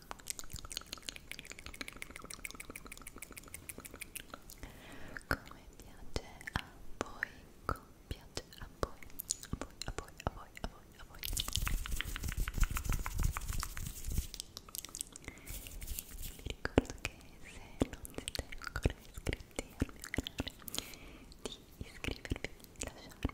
come piace a voi come piace a voi a voi a voi a voi a voi, a voi. vi ricordo che se non siete ancora iscritti al mio canale di iscrivervi lasciarmi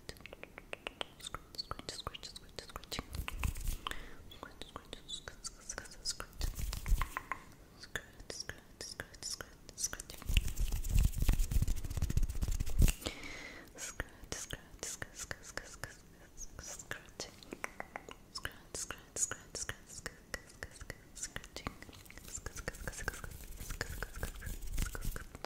that. Scratch, scratch, scratch, scratch, scratch. Scratch, scratch, scratch, scratch. Scratch, scratch, scratch, scratch, scratch. Scratch, scratch, scratch, scratch, scratch, scratch. Scratch, scratch, scratch, scratch, scratch, scratch, scratch. Scratching.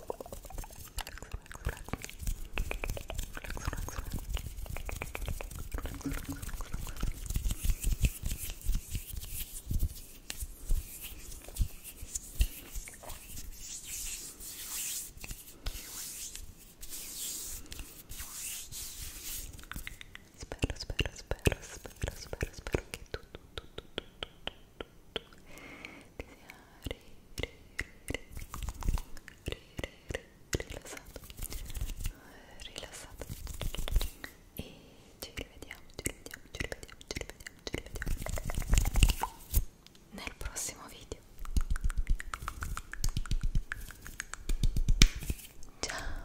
Spero, spero, spero, spero, spero, spero che tutto, tutto, tutto, tutto, rilassato rilassato e ci rivediamo ci rivediamo ci rivediamo ci rivediamo ci rivediamo nel prossimo video ciao